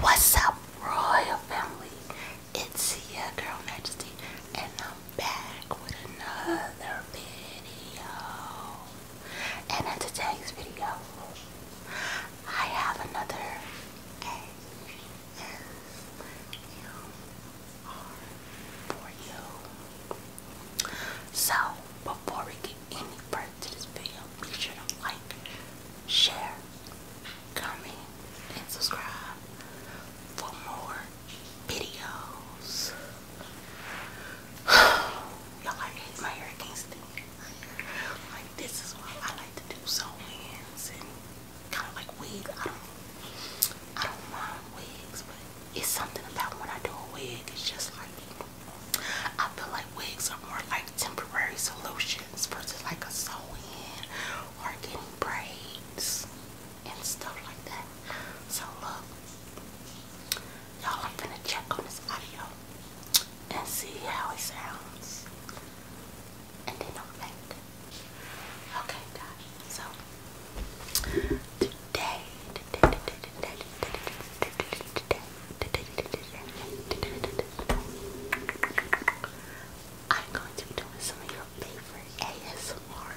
What's up, royal family? It's your girl Majesty, and I'm back with another video. And in today's video, I have another A S M R for you. So, before we get any further to this video, be sure to like, share, comment, and subscribe for more videos. Y'all like my hair against it. Like this is what I like to do. So ends and kind of like wigs. I don't, I don't mind wigs, but it's something about when I do a wig. It's just like I feel like wigs are more like temporary solutions versus like a sew-in or getting braids and stuff like that. So look, y'all I'm gonna check on this audio and see how it sounds. And then Okay guys, so today, I'm going to be doing some of your favorite ASMR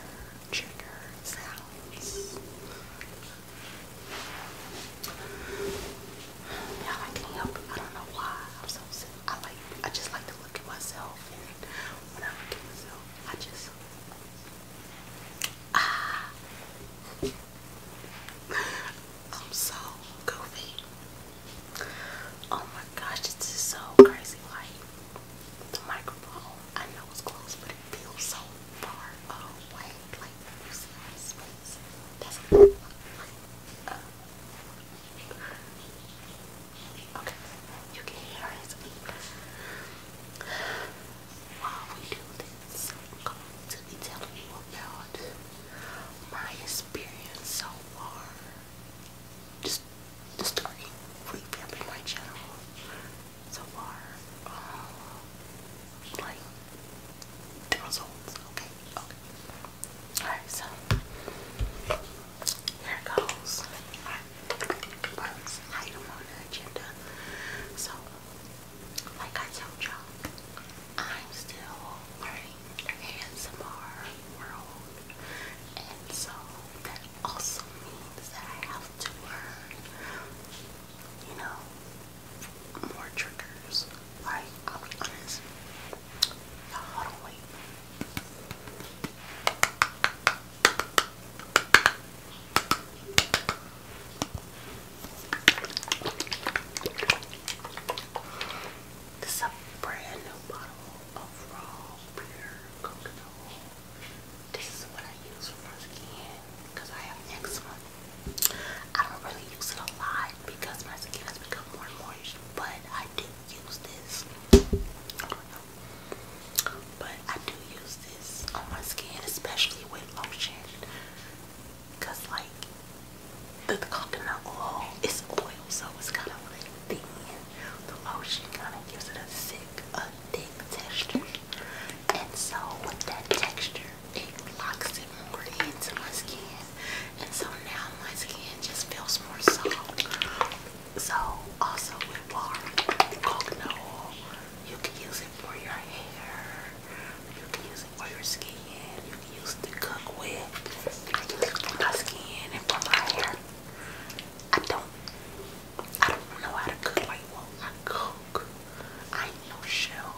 trigger sounds. Y'all, I can I don't know why I'm so sick. I like, I just like to look at myself, and when I look at myself, I just ah. I'm so goofy. Oh my gosh, this is so crazy. Like, the microphone, I know it's close, but it feels so far away. Like, you see my space? That's like, Okay, you can hear it while we do this, i to be telling you about my experience so far. Just the story revamping my channel so far. Um, like the results. Okay, okay. Alright, so here it goes. Our first item on the agenda. So like I told y'all, I'm still learning the ASMR world, and so that also means that I have to learn, you know, more triggers. Like, I'll be honest, not wait. This is a brand new bottle of raw pure coconut This is what I use for my skin because I have eczema. I don't really use it a lot because my skin has become more moist, but I do use this. But I do use this on my skin, especially with lotion because like the, coconut oil is oil, so it's kind of like thin. The lotion kind of gives it a thick, a thick texture, and so with that texture, it locks it more into my skin, and so now my skin just feels more soft. So also with water, coconut oil, you can use it for your hair. You use it for your skin. You use to cook with. for my skin and for my hair. I don't. I don't know how to cook like well. I cook. I ain't no shell.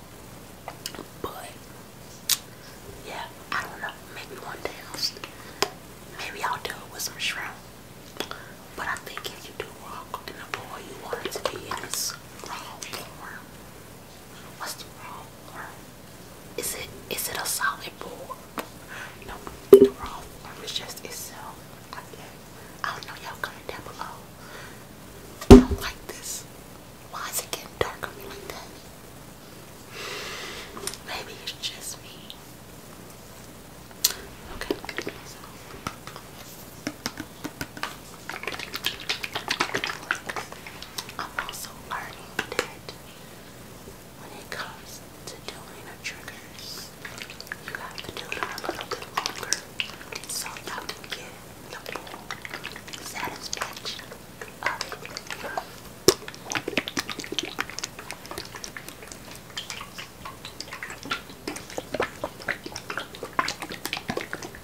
But yeah, I don't know. Maybe one day I'll. Maybe I'll do it with some shrimp. But I think if you do raw cooking a boil, you want to be in raw What's wrong? Or is it is it a solid ball? You know, the wrong it's just itself. I, don't know. Y'all comment down below. I don't like this. Why is it getting dark on me like that? Maybe it's just me. Okay. I'm also learning that when it comes to doing triggers, you have to do a little bit longer so y'all get the full satisfaction of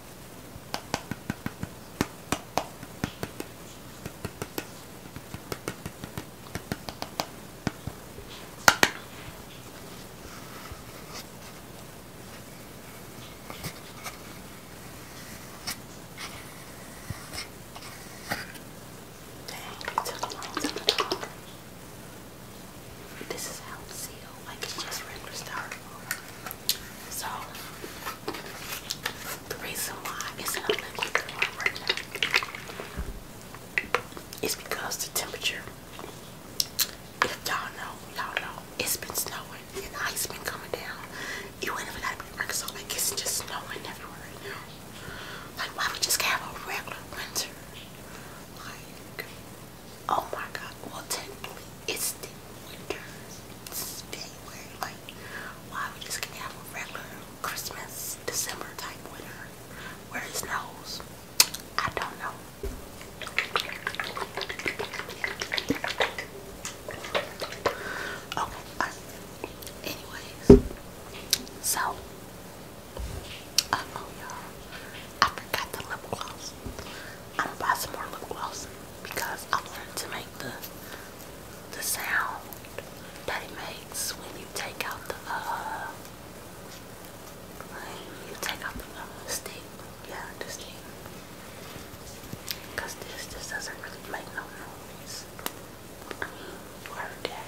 Dang, it took a long time to talk. This is how sealed, like it just regular styrofoam. So the reason why it's in a liquid form right now is because the temperature. If y'all know, y'all know, it's been snowing and the ice been coming down. You ain't even gotta be so like it's just snowing everywhere right now. Like why we just have a regular winter? Like oh my god. Well technically it's winter, January, like, why we just can have a regular Christmas, December type winter where it snows. I don't know. Okay, anyways, so, uh oh y'all, I forgot the lip gloss. I'm gonna buy some more lip gloss because I wanted to make the the sound that it makes when you take out the uh when you take out the uh, stick. Yeah, the stick. this this doesn't really make no noise. I mean you heard that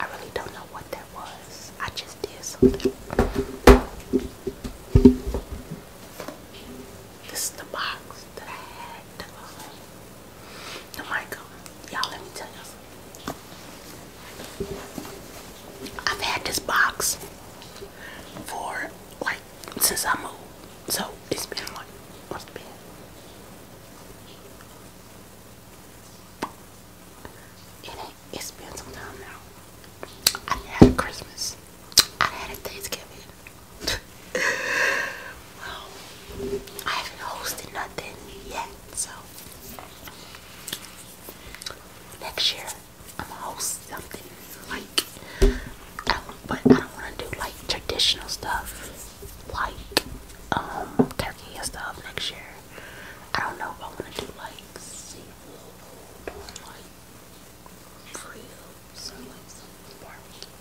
I really don't know what that was. I just did something. This is the box that I had. The, uh, the oh micro. Y'all, let me tell you something. I've had this box for like since I moved. So it's been like what's been it it's been some time now. I had a Christmas. I had a Thanksgiving. well, I haven't hosted nothing yet, so next year I'm gonna host something like but I don't want to do like traditional stuff like um turkey and stuff next year. I don't know if I want to do like seafood or like grills something like some barbecue.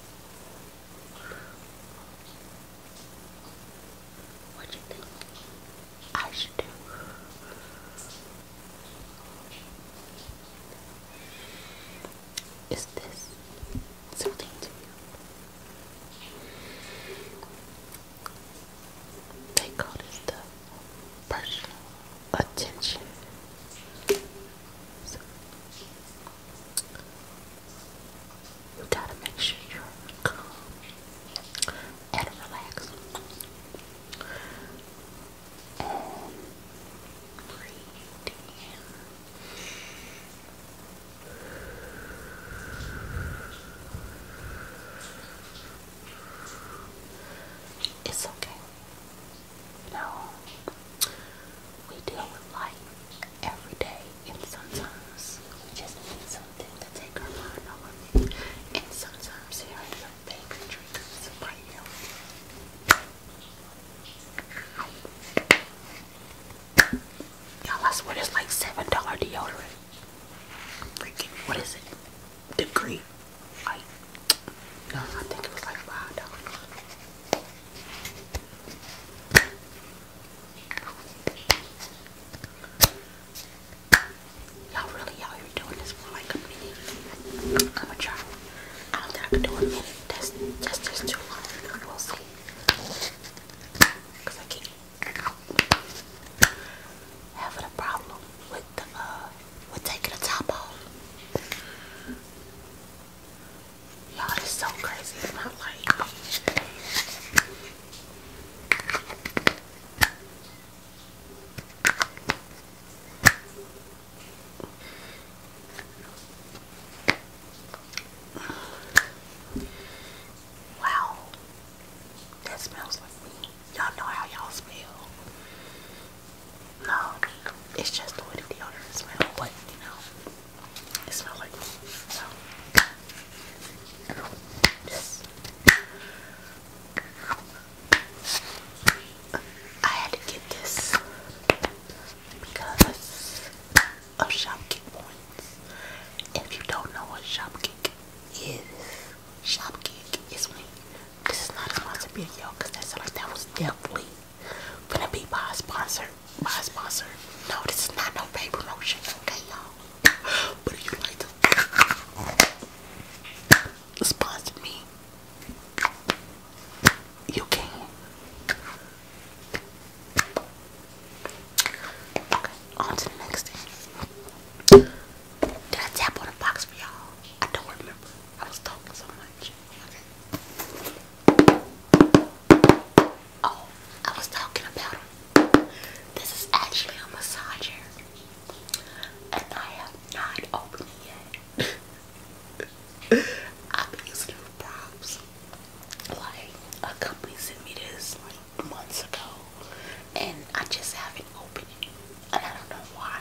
What you think I should do? Is this something to you? They this the personal attention. you gotta make sure you're calm and relaxed. It's okay. No, we deal with life every day, and sometimes we just need something to take our mind off of And sometimes here you. all I swear like $7 deodorant. Like, what is it? Degree. Like, no, I think it was like $5. Y'all really out here doing this for like a minute. i am try. I don't think I can do a minute. That's just too long. We'll see. I keep having a problem with the uh with taking the top off. Y'all this is so crazy. It's not like Wow. That smells like me. Y'all know how y'all smell. No, it's just the way the deodorant smells, but you know, it smells like me. So, just. I had to get this because of Shopkick points. if you don't know what Shopkick is, Shopkick is me. This is not supposed to be a sponsored video because that's like that was definitely gonna be my sponsor. my sponsor. No, this is not no paid promotion, okay y'all? But if you like to sponsored me, you can. Okay, on to the next Did I tap on a box for y'all? I don't remember. I was talking so much. Oh, I was talking about This is actually a massager and I have not opened it yet. I've been using it for props. Like a company sent me this months ago, and I just haven't opened it, and I don't know why.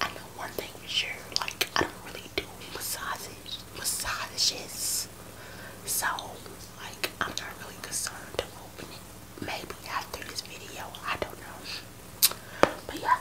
I know one thing for sure, like I don't really do massages, massages, so like I'm not really concerned of opening. it maybe after this video, I don't know. But yeah.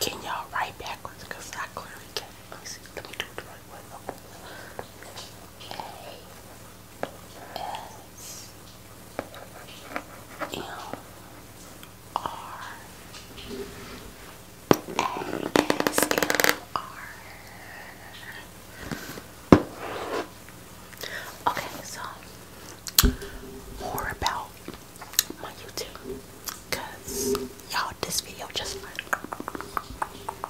Can y'all write back backwards because I clearly can't. Let me Okay. so more about my YouTube, cause y'all, this video just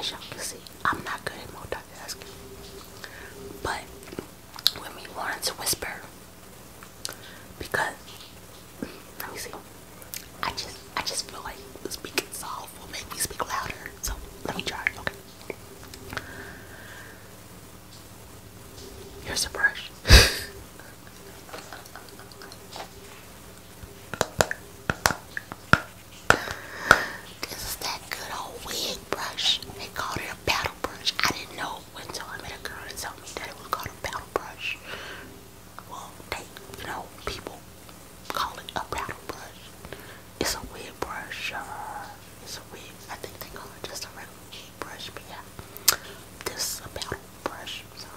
As I'm not good at multitasking. But when we wanting to whisper because let me see. I just I just feel like speaking soft will make me speak louder. So let me try, okay. Here's a brush. this is that good old wig brush. They called it a battle brush. I didn't know until I met a girl and told me that it was called a battle brush. Well, they, you know, people call it a battle brush. It's a wig brush. Uh, it's a wig. I think they call it just a regular brush, but yeah, this is a paddle brush. So.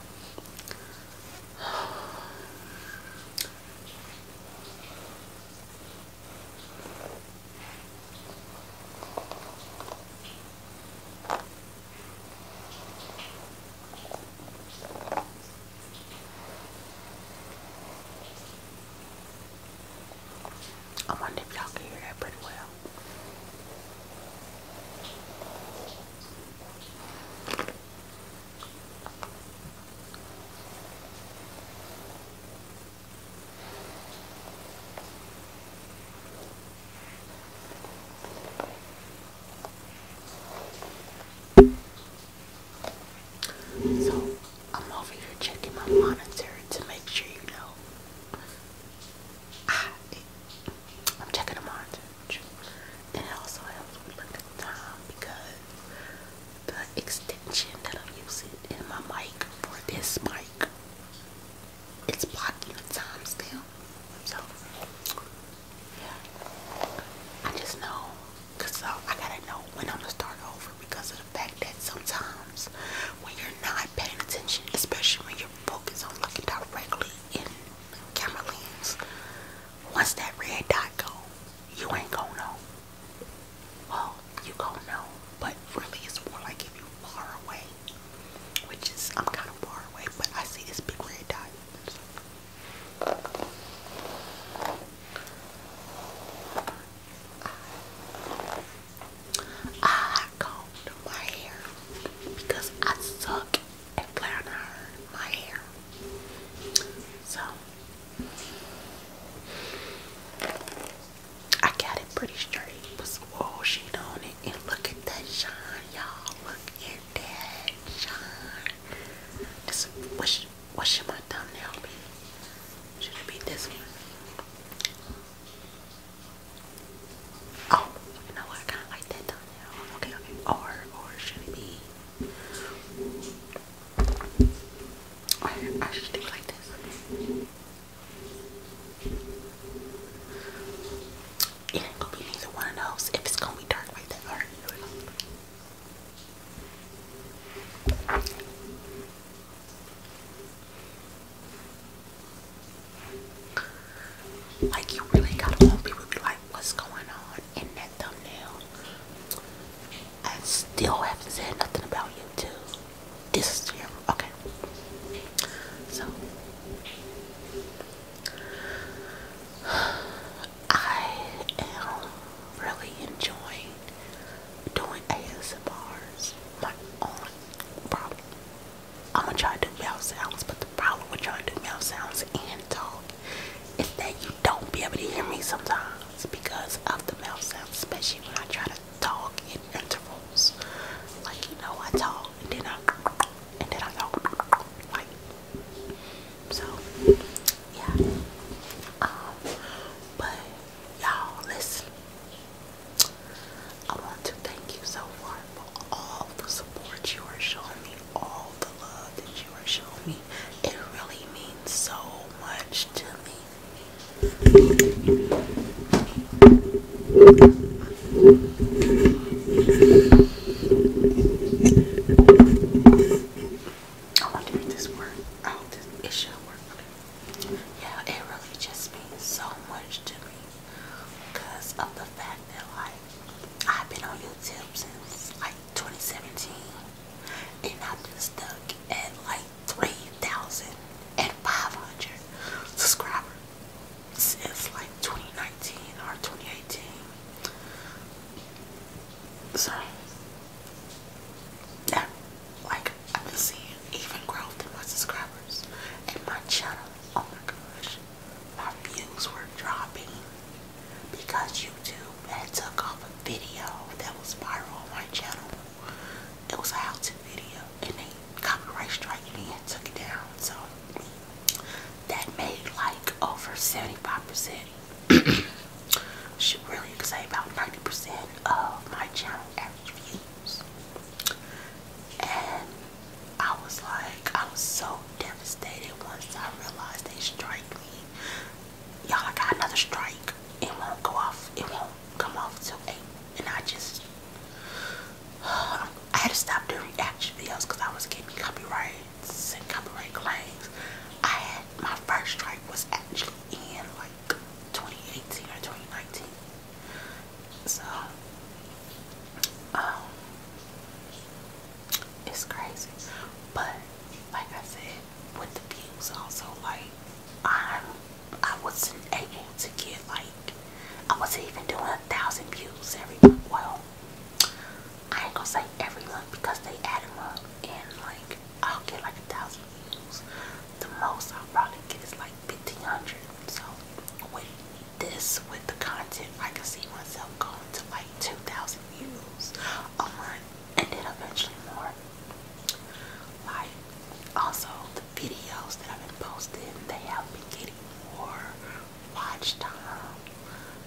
I wonder if y'all can hear that pretty well. So I'm over here checking my monitor to make sure you know. Ah, I, am checking the monitor. And it also helps me look time because the extension that I'm using in my mic for this mic, it's blocking the time still. So, yeah. I just know, cause uh, I gotta know when I'm gonna start over because the fact that sometimes when you're not paying attention, especially when you're focused on looking directly in camera lens, once that red dot go, you ain't gonna know. Well, oh, you gonna know, but really it's more like if you're far away, which is, I'm kind of far away, but I see this big red dot. I combed my hair because I suck at flat my hair. So I got it pretty straight. with some oil sheet on it and look at that shine, y'all. Look at that shine. This what should, what should my thumbnail be? Should it be this one? Oh, you know what? I kind of like that down Okay, okay. Or, or should it be? I should do like this. It ain't gonna be neither one of those if it's gonna be dark right there. here we go. Like you really got on people be like, what's going on in that thumbnail? I still haven't said nothing about you YouTube. This year. Okay. So I am really enjoying doing ASMRs. My own problem. I'm gonna try to do mouth sounds, but the problem with trying to do mouth sounds and talk is that you don't be able to hear me sometimes because of the mouth sounds, especially when I try to talk in intervals. Like you know, I talk and then I and then I go like so. Yeah. Um, but y'all listen. I want to thank you so far for all the support you are showing me, all the love that you are showing me. It really means so much to me. I want to make this work. I hope this, it should work yeah, it really just means so much to me because of the fact that like I've been on YouTube since like 2017 and I've been stuck at like 3,500 subscribers since like 2019 or 2018. So yeah, like I've been seeing even growth in my subscribers and my channel. Oh my gosh, my views were dropping because YouTube had took off a video that was viral on my channel. It was a how-to video, and they copyright strike me and took it down. So that made like over 75%. Should really say about 90% of my channel average views. And I was like, I was so devastated once I realized they strike me. Y'all, I got another strike. It won't go off. It won't come off till eight. And I just, I had to stop doing action videos because I was getting copyrights and copyright claims. I had my first strike was actually in like 2018 or 2019. So, um, it's crazy. But like I said, with the views also, like I, I wasn't able to get like I wasn't even doing a thousand views every month. Well, I ain't gonna say every month because they add them up and like I'll get like a thousand views. The most I'll probably get is like 1500 so with this with the content I can see myself going to like 2,000 views a month and then eventually more like also the videos that I've been posting they have been getting more watch time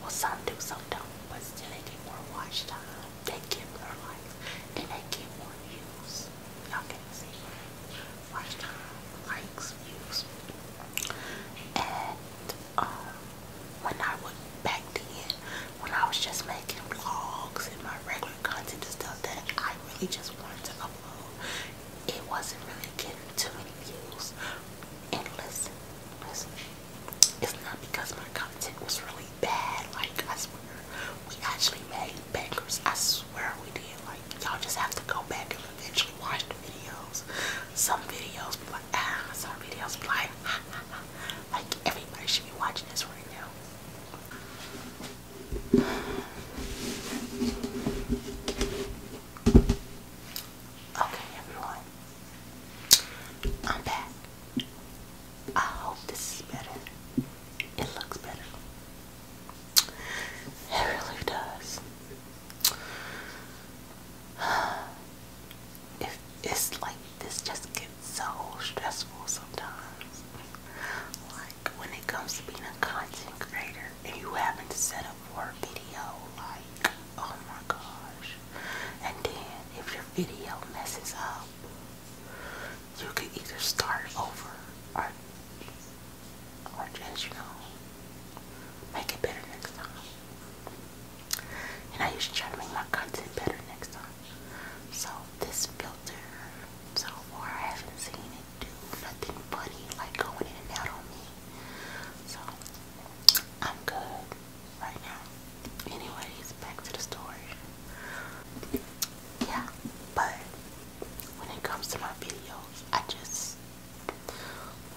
well some do some don't but still they get more watch time they give more likes and they get more views y'all can see watch time, likes, views. And um when I would back then when I was just making vlogs and my regular content and stuff that I really just wanted to upload, it wasn't really getting too many views. And listen, listen. It's not because my content was really bad, like I swear. We actually made bangers. I swear we did. Like y'all just have to go back and eventually watch the videos. Some videos like, ah, some videos like, ha, ha, ha. like everybody should be watching this right now. Okay, everyone, I'm back. I hope this is better. It looks better. It really does. it's like this just gets so stressful sometimes. Like when it comes to being a content creator and you having to set up for a video, like oh my gosh. And then if your video messes up, you can either start over or or just, you know, make it better next time. And I usually try to make my content better next time. So this filter, so far I haven't seen it do nothing funny like going in and out on me. So I'm good right now. Anyways, back to the story. Yeah, but when it comes to my videos. I just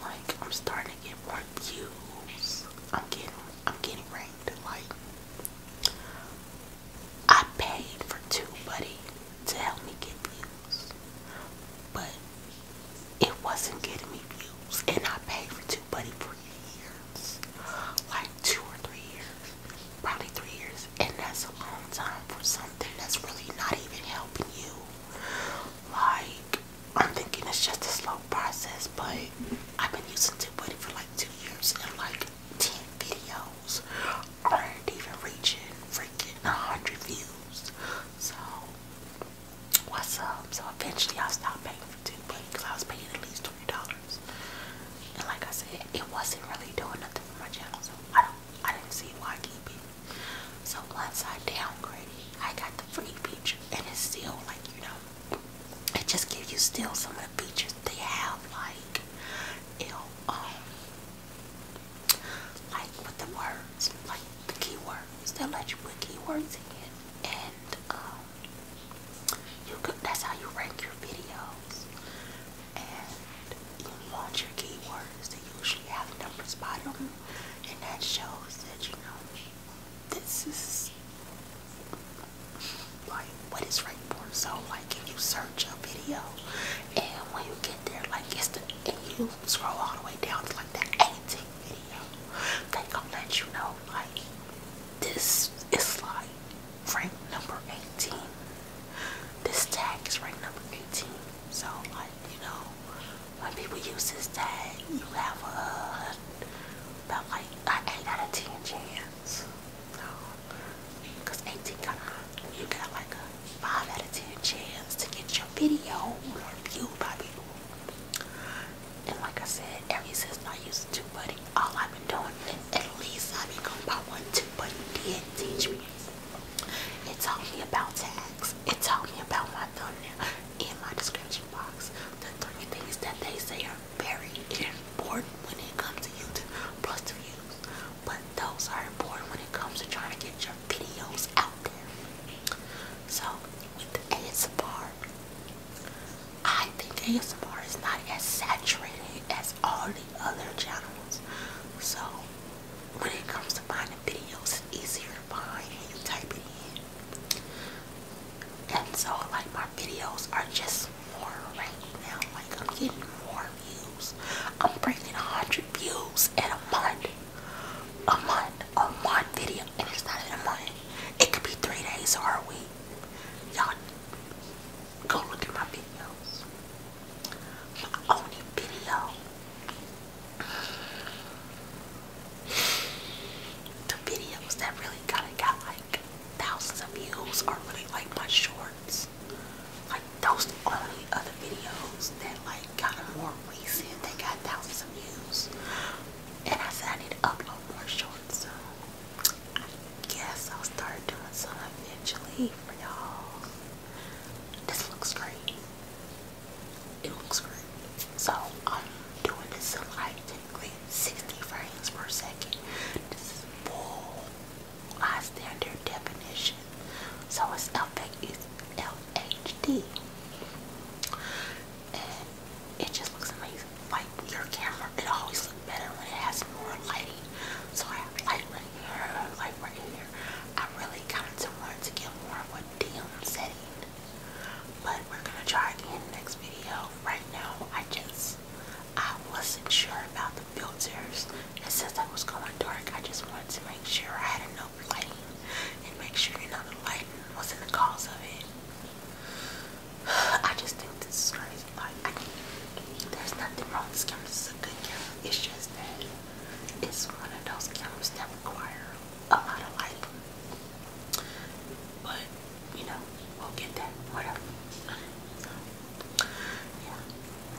like I'm starting to get more views. I'm getting I'm getting ranked like I paid for TubeBuddy to help me get views. But it wasn't getting me views and I paid for TubeBuddy for years. Like two or three years probably three years, and that's a long time for something that's really not even helping you. Like, I'm thinking it's just a slow process, but I've been using TubeBuddy for like two years, and like 10 videos aren't even reaching freaking 100 views. So, what's up? So, eventually, I stopped paying for TubeBuddy because I was paying at least $20. And like I said, it wasn't really doing nothing for my channel, so I don't I didn't see Waikipi. So once I downgraded, I got the free feature, and it's still like you know, it just gives you still some of the features they have, like you know, um, like with the words, like the keywords. They'll let you put keywords in, and um, you could. That's how you rank your videos and you want your keywords They usually have numbers by them, and that shows that you know this is like what is rank right for. So like if you search a video and when you get there, like it's the and you scroll all the way down to like the 18th video, they gonna let you know like this is like rank number 18 this tag is rank number 18. So, like, you know, when people use this tag, you have a, about like an 8 out of 10 chance. Because no. 18 kind of, you got like a 5 out of 10 chance to get your video reviewed by people. And like I said, every since I used TubeBuddy, all I've been doing is at least I've been one by what TubeBuddy did teach me. It told me about tags. It told me about my thumbnail in my description box. The three things that they say are very important when it comes to YouTube plus to views. But those are important when it comes to trying to get your videos out there. So with the ASMR, I think ASMR is not as saturated as all the other channels. So when it comes to finding videos, it's easier to find when you type it in. And so, like, my videos are just more right now. Like, I'm getting more views. I'm breaking 100 views in a month. A month. A month video. And it's not even a month. It could be three days or a week. Y'all, go look at my videos my only video the videos that really got like thousands of views are really like my shorts like those only other videos that like got more recent they got thousands of views and I said I need to upload more shorts so I guess I'll start doing some eventually for y'all this looks great. It looks great. So I'm doing this at like 60 frames per second. This is full high standard definition. So it's LHD. And it just looks amazing. Like your camera, it always looks better when it has more lighting. So I have light right here, like right here. I really kind of want to get more of a dim setting, but we're gonna try again next video. Right now, I just I wasn't sure about the filters, and since I was going dark, I just wanted to make sure I had enough lighting and make sure you know the lighting wasn't the cause of it. I just think this is crazy. Like, I, there's nothing wrong with this camera. This a good camera. It's just that it's one of those games that require a lot of light. But, you know, we'll get that. Whatever. yeah.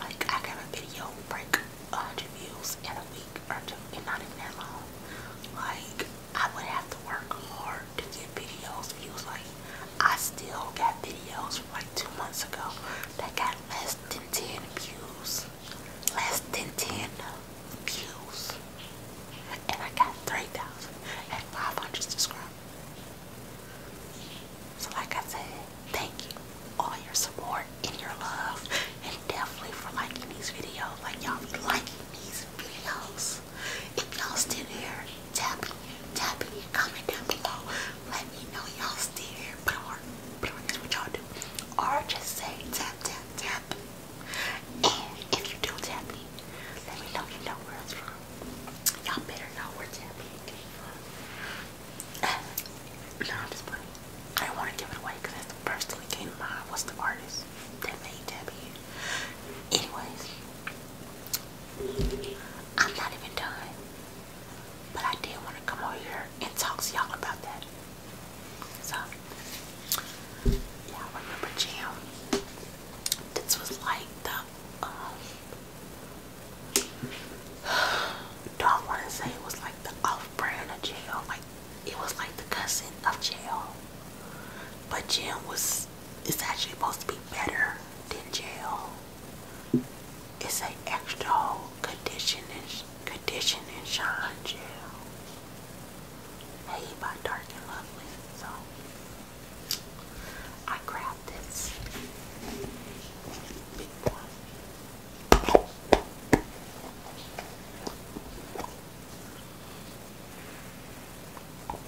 Like, I got a video break 100 views in a week or two, and not even that long. Like, I would have to work hard to get videos views. Like, I still got videos from like two months ago that got less than 10 views. Less than 10 views. And I got 3,500 subscribers. So like I said, thank you all your support and your love. And definitely for liking these videos. Like y'all be liking these videos. If y'all still here, tapping, in, tap in, comment down below let me know y'all's theater or here's what y'all do. Or just say tap tap tap. And if you do tap let me know you know where it's from. Y'all better know where tapping came from. no, I'm just playing. I don't want to give it away because that's the first thing that came to mind was the artist that made Debbie. Anyways, I'm not even done. But I did want to come over here and talks to y'all about that. So, y'all remember Jam? This was like the, um, don't want to say it was like the off-brand of jail. Like, it was like the cousin of jail. But jail was, it's actually supposed to be better than jail. It's an extra whole conditioning, conditioning shine gel. Hey, by Dark and Lovely. So, I grabbed this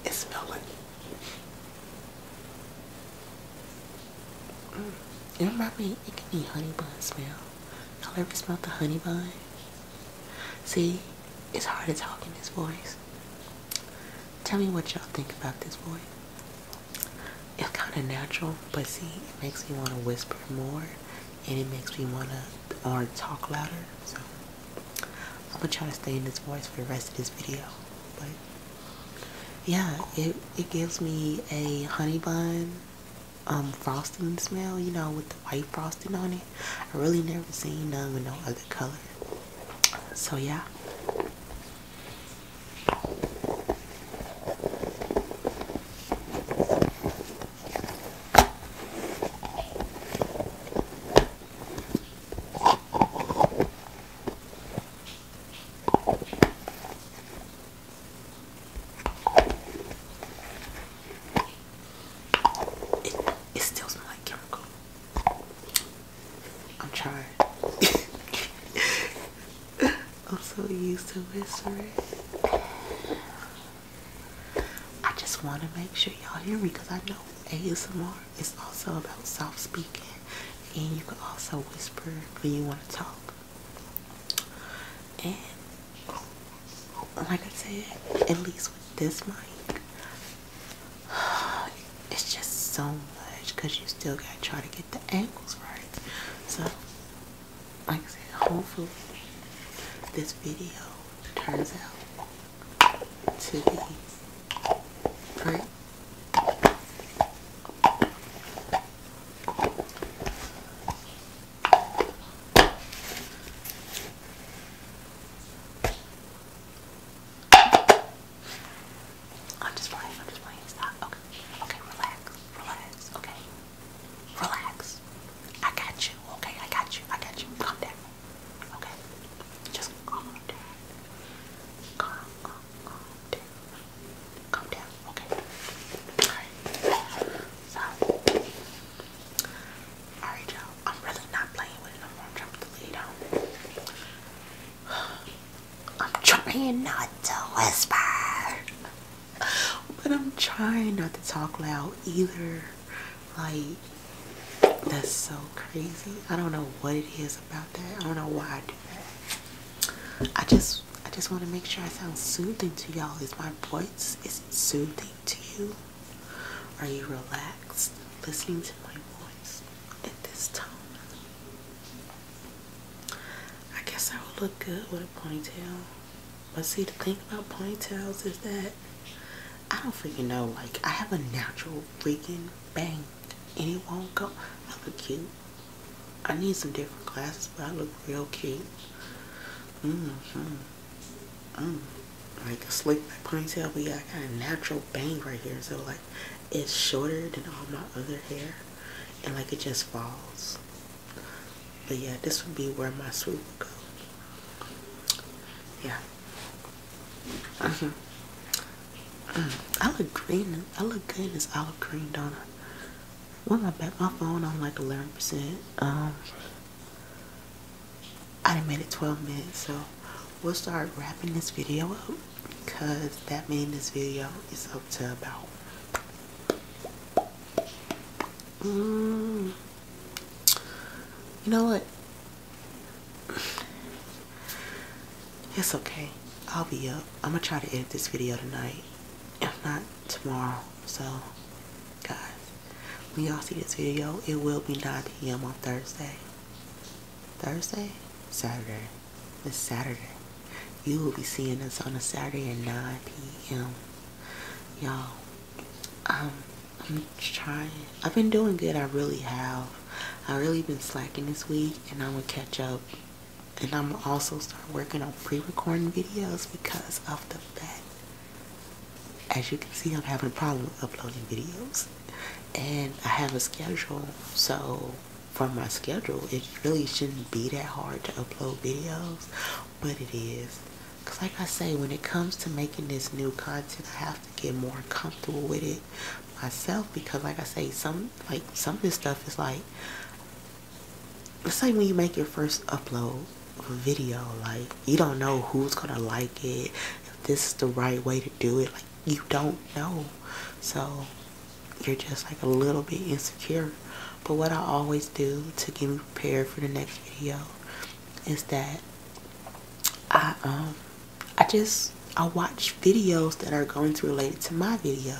It's smelling. It might be, it could be honey bun smell. Y'all ever smell the honey bun? See, it's hard to talk in this voice. Tell me what y'all think about this voice. It's kind of natural, but see, it makes me want to whisper more, and it makes me want to or talk louder. So I'm gonna try to stay in this voice for the rest of this video. But yeah, it it gives me a honey bun um frosting smell, you know, with the white frosting on it. I really never seen none with no other color. So yeah. It, still smells like chemical. I'm trying. I'm so used to whispering. I just want to make sure y'all hear me because I know ASMR is also about soft speaking and you can also whisper when you want to talk. And like I said, at least with this mic, it's just so much because you still gotta try to get the angles right. So, like I said, hopefully this video turns out to be great. I'm just playing, I'm just playing. Stop. Okay. Okay, relax. Relax. Okay. Relax. I got you. Okay, I got you. I got you. Calm down. Okay. Just calm down. Calm, down. down. Okay. Alright. So alright y'all. I'm really not playing with it I'm trying to lead on. I'm trying not to whisper. But I'm trying not to talk loud either. Like that's so crazy. I don't know what it is about that. I don't know why I do that. I just I just want to make sure I sound soothing to y'all. Is my voice is it soothing to you? Are you relaxed listening to my voice at this tone? I guess I would look good with a ponytail. But see the thing about ponytails is that I don't freaking know. Like I have a natural freaking bang and it won't go. I look cute. I need some different glasses, but I look real cute. Mm -hmm. Mm. Like a slick back ponytail, but yeah, I got a natural bang right here. So like, it's shorter than all my other hair, and like it just falls. But yeah, this would be where my swoop would go. Yeah. Mm -hmm. mm. I look green. I look good in olive green, don't I? Well, I backed my phone on like 11%. Um, I didn't made it 12 minutes, so we'll start wrapping this video up because that means this video is up to about mm. You know what? It's okay. I'll be up. I'm going to try to edit this video tonight if not tomorrow. So, guys, when y'all see this video, it will be 9 p.m. on Thursday. Thursday? Saturday. It's Saturday. You will be seeing us on a Saturday at 9 p.m. Y'all, um, I'm trying. I've been doing good. I really have. I really been slacking this week, and I'm gonna catch up and I'm gonna also start working on pre-recording videos because of the fact, as you can see, I'm having a problem uploading videos. And I have a schedule, so from my schedule, it really shouldn't be that hard to upload videos, but it is. Because like I say, when it comes to making this new content, I have to get more comfortable with it myself because like I say, some like some of this stuff is like it's like when you make your first upload of a video, like you don't know who's gonna like it, if this is the right way to do it, like you don't know. So you're just like a little bit insecure. But what I always do to get prepared for the next video is that I um I just I watch videos that are going to relate to my video.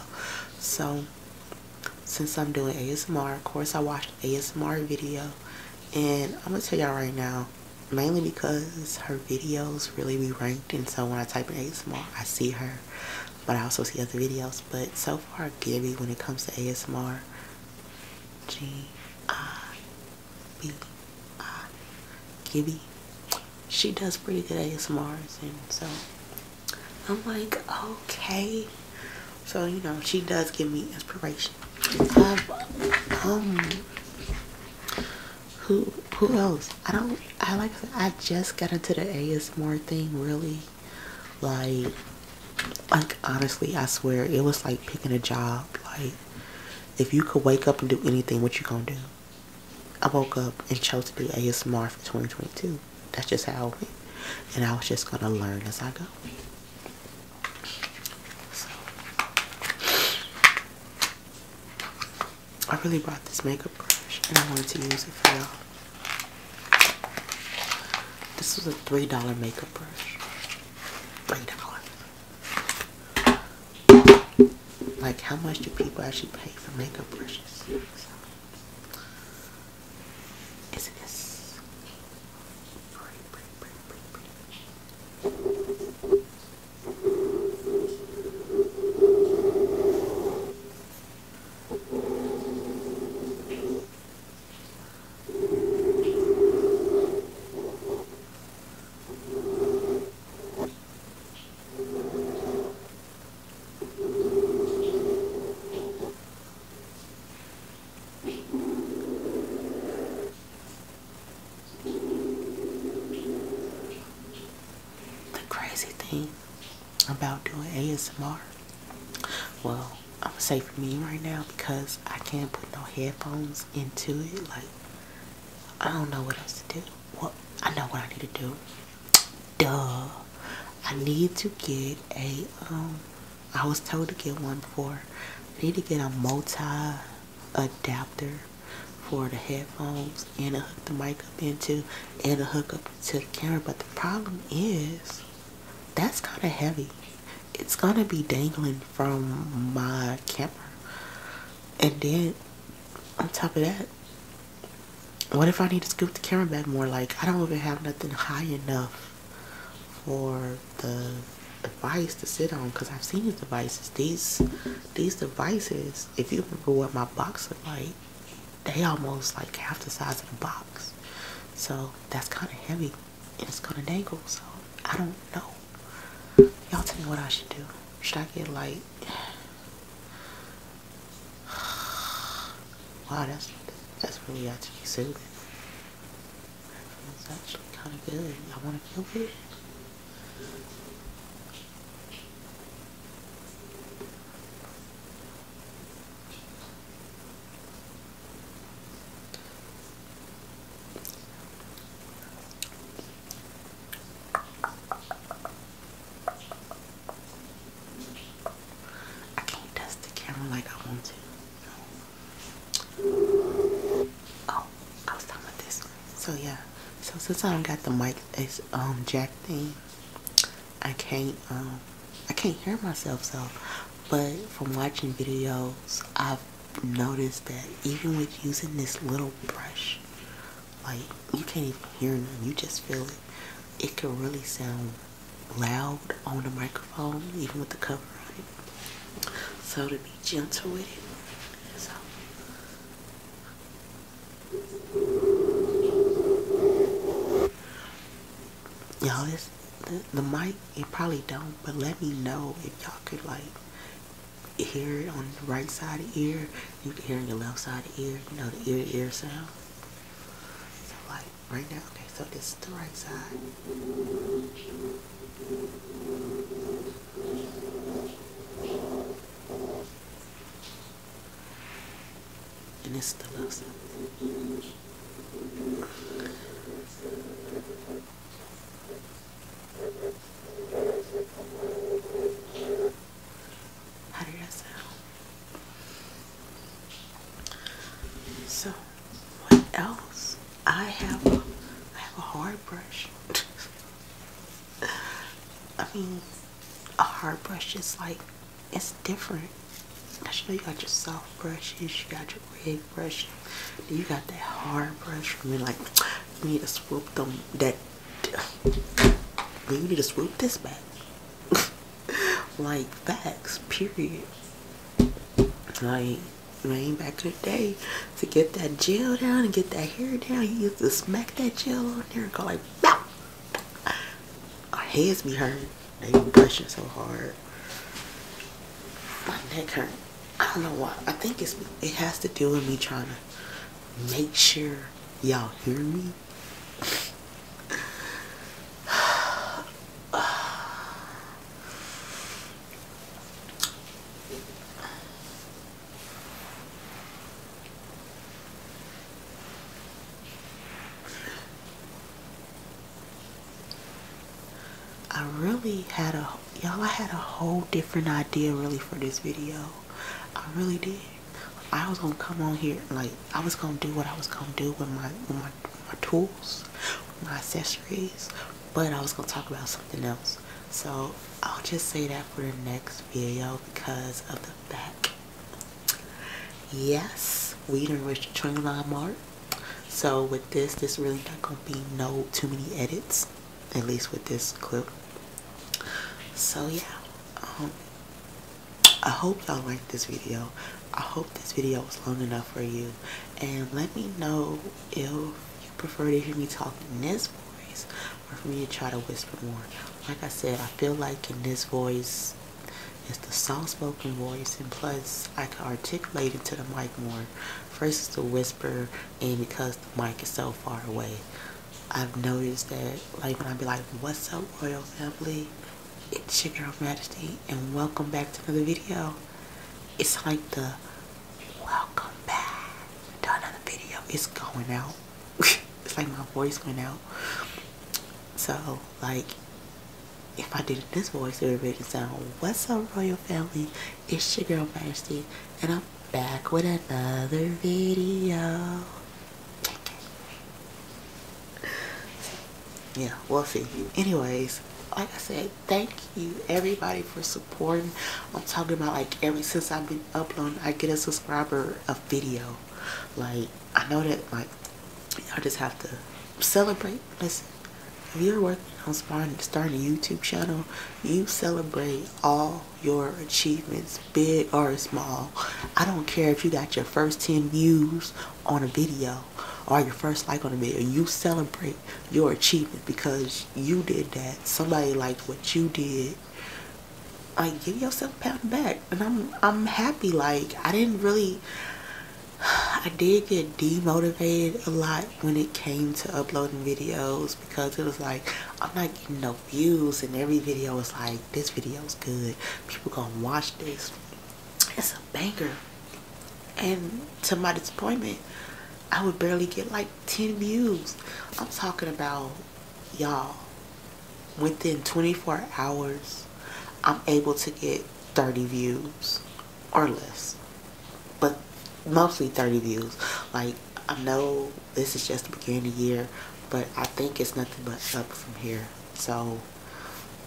So since I'm doing ASMR. Of course, I watched ASMR video, and I'm gonna tell y'all right now, mainly because her videos really be ranked, and so when I type in ASMR, I see her, but I also see other videos. But so far, Gabby, when it comes to ASMR, G I B I Gibby, she does pretty good ASMRs, and so I'm like, okay. So, you know, she does give me inspiration. Um, who who else? I don't I like I, just got into the ASMR thing really. Like like honestly, I swear it was like picking a job. Like if you could wake up and do anything, what you gonna do? I woke up and chose to do ASMR for 2022. That's just how it went. And I was just going to learn as I go. So, I really bought this makeup brush and I wanted to use it for y'all. This was a $3 makeup brush. $3. Like, how much do people actually pay for makeup brushes? Isn't this pretty, pretty, pretty, pretty, pretty? Thank the crazy thing about doing ASMR, well, I'm gonna say for me right now because I can't put no headphones into it. Like, I don't know what else to do. Well, I know what I need to do duh. I need to get a. Um, I was told to get one before. I need to get a multi adapter for the headphones and to hook the mic up into and to hook up to the camera. But the problem is that's kinda heavy. It's gonna be dangling from my camera. And then on top of that, what if I need to scoop the camera back more? Like, I don't even have nothing high enough for the device to sit on because I've seen these devices. These these devices, if you remember what my box looked like, they almost like half the size of the box. So that's kind of heavy and it's kind of dangle. So I don't know. Y'all tell me what I should do. Should I get like Wow, that's that's really actually soothing. It's actually kind of good. I want to feel it. I can't dust the camera like I want to. Oh, I was talking about this. So yeah. So since I don't got the mic it's um jack thing, I can't um, I can't hear myself so but from watching videos I've noticed that even with using this little brush like you can't even hear nothing, you just feel it. It could really sound loud on the microphone, even with the cover on it. So to be gentle with it. So. Y'all, this the, mic, You probably don't, but let me know if y'all could like hear it on the right side of the ear. You can hear on the left side of the ear, you know, the ear to ear sound right now. Okay, so this is the right side. And this is the left side. How do you sound? So, what else? I have a, I have a hard brush. I mean, a hard brush is like, it's different. That's you, know, you got your soft brushes, you got your red brush, you got that hard brush for me. Like, you need to swoop them, that, you need to swoop this back. like facts, period. Like man, back in the day, to get that gel down and get that hair down, you used to smack that gel on there and go like, Bow! our heads be hurt. They be pushing so hard. My neck hurt. I don't know why. I think it's it has to do with me trying to make sure y'all hear me. I really had a y'all I had a whole different idea really for this video. I really did. I was gonna come on here like I was gonna do what I was gonna do with my with my my tools, my accessories, but I was gonna talk about something else. So I'll just say that for the next video because of the fact. Yes, we didn't reach the trunk line mark. So with this, this really not gonna be no too many edits, at least with this clip. So yeah, um, I hope y'all liked this video. I hope this video was long enough for you. And let me know if you prefer to hear me talk in this voice or for me to try to whisper more. Like I said, I feel like in this voice, it's the soft spoken voice and plus I can articulate into the mic more versus the whisper and because the mic is so far away. I've noticed that like when I be like, what's up royal family? It's your girl Majesty and welcome back to another video. It's like the welcome back to another video. It's going out. it's like my voice went out. So like if I did this voice it would really sound what's up royal family? It's your girl Majesty and I'm back with another video. yeah, we'll see. Anyways, like I said, thank you everybody for supporting. I'm talking about like every since I've been uploading, I get a subscriber a video. Like I know that like I just have to celebrate. Listen, if you're working on starting a YouTube channel, you celebrate all your achievements, big or small. I don't care if you got your first 10 views on a video or your first like on the video, you celebrate your achievement because you did that. Somebody liked what you did. Like give yourself a pat back. And I'm I'm happy. Like I didn't really I did get demotivated a lot when it came to uploading videos because it was like I'm not getting no views and every video was like this video's good. People gonna watch this it's a banker, And to my disappointment, I would barely get like 10 views. I'm talking about y'all. Within 24 hours, I'm able to get 30 views or less. But mostly 30 views. Like, I know this is just the beginning of the year, but I think it's nothing but up from here. So,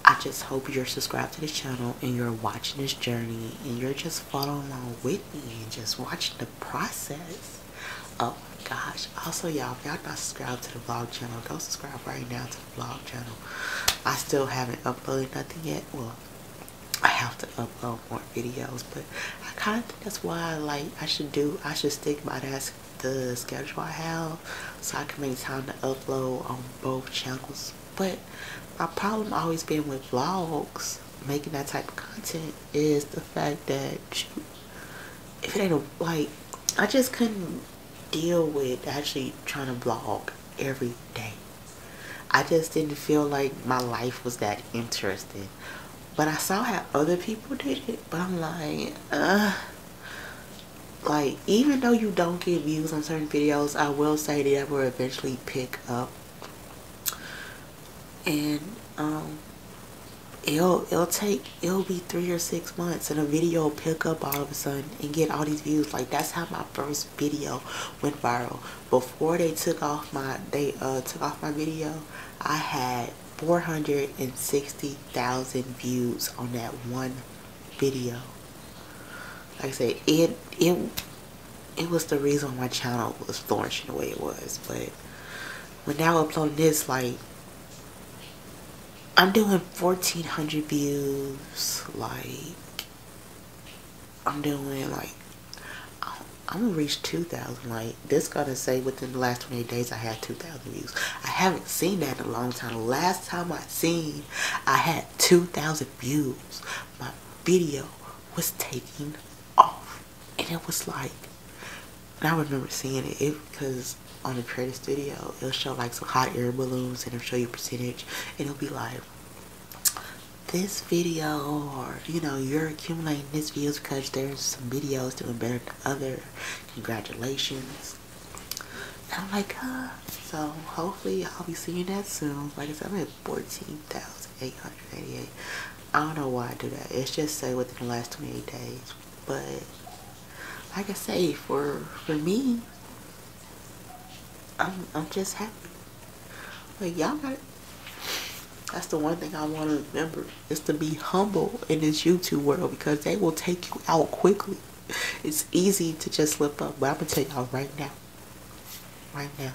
I just hope you're subscribed to the channel and you're watching this journey and you're just following along with me and just watching the process. Oh my gosh. Also, y'all, if y'all not subscribed to the vlog channel, go subscribe right now to the vlog channel. I still haven't uploaded nothing yet. Well, I have to upload more videos, but I kind of think that's why like I should do I should stick by that the schedule I have so I can make time to upload on both channels but my problem always been with vlogs, making that type of content, is the fact that if it ain't a, like, I just couldn't deal with actually trying to blog every day. I just didn't feel like my life was that interesting. But I saw how other people did it, but I'm like, uh, like even though you don't get views on certain videos I will say that will eventually pick up and um, it'll it'll take it'll be three or six months and a video will pick up all of a sudden and get all these views like that's how my first video went viral before they took off my they uh, took off my video I had 460,000 views on that one video. Like I said, it it it was the reason my channel was flourishing the way it was. But when now uploading this, like I'm doing 1,400 views. Like I'm doing like I'm gonna reach 2,000. Like this going to say within the last 28 days I had 2,000 views. I haven't seen that in a long time. The last time I seen I had 2,000 views. My video was taking off. And it was like, and I remember seeing it, because on the creative studio, it'll show like some hot air balloons and it'll show you percentage. And it'll be like, this video or you know you're accumulating these views because there's some videos doing better than other congratulations not like her. Uh, so hopefully I'll be seeing that soon. Like I said, I'm at 14,888. I don't know why I do that. It's just say within the last 28 days. But like I say, for for me, I'm I'm just happy. Like y'all got That's the one thing I want to remember is to be humble in this YouTube world because they will take you out quickly it's easy to just slip up, but I'm gonna tell y'all right now, right now,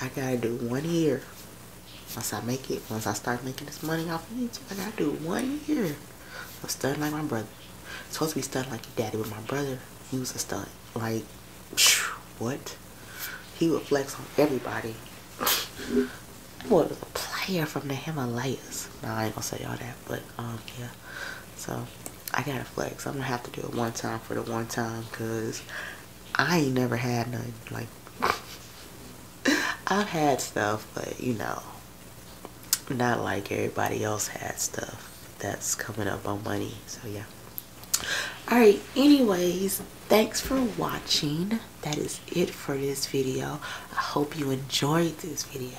I gotta do one year. Once I make it, once I start making this money off of YouTube, I gotta do one year I'm studying like my brother. supposed to be studying like your daddy, With my brother, he was a stud. Like, what? He would flex on everybody. What was a player from the Himalayas. No, I ain't gonna say all that, but um, yeah. So I gotta flex. I'm gonna have to do it one time for the one time because I ain't never had nothing. Like, I've had stuff, but you know, not like everybody else had stuff that's coming up on money. So, yeah. Alright, anyways, thanks for watching. That is it for this video. I hope you enjoyed this video.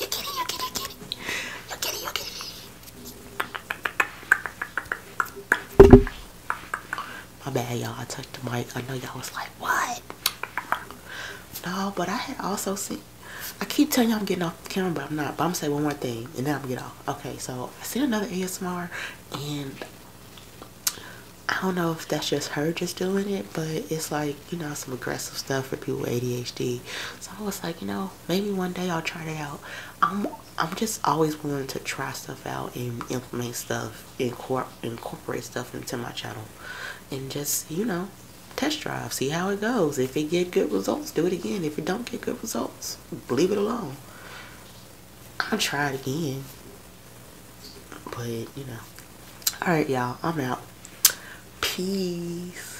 You get it, you get it, you get it. You get it, My bad, y'all. I took the mic. I know y'all was like, what? No, but I had also seen. I keep telling y'all I'm getting off the camera, but I'm not. But I'm going say one more thing, and then I'm going to get off. Okay, so I see another ASMR, and I don't know if that's just her just doing it, but it's like, you know, some aggressive stuff for people with ADHD. So I was like, you know, maybe one day I'll try it out I'm I'm just always willing to try stuff out and implement stuff incorpor incorporate stuff into my channel and just you know test drive see how it goes if it get good results do it again if it don't get good results leave it alone I'll try it again but you know all right y'all I'm out peace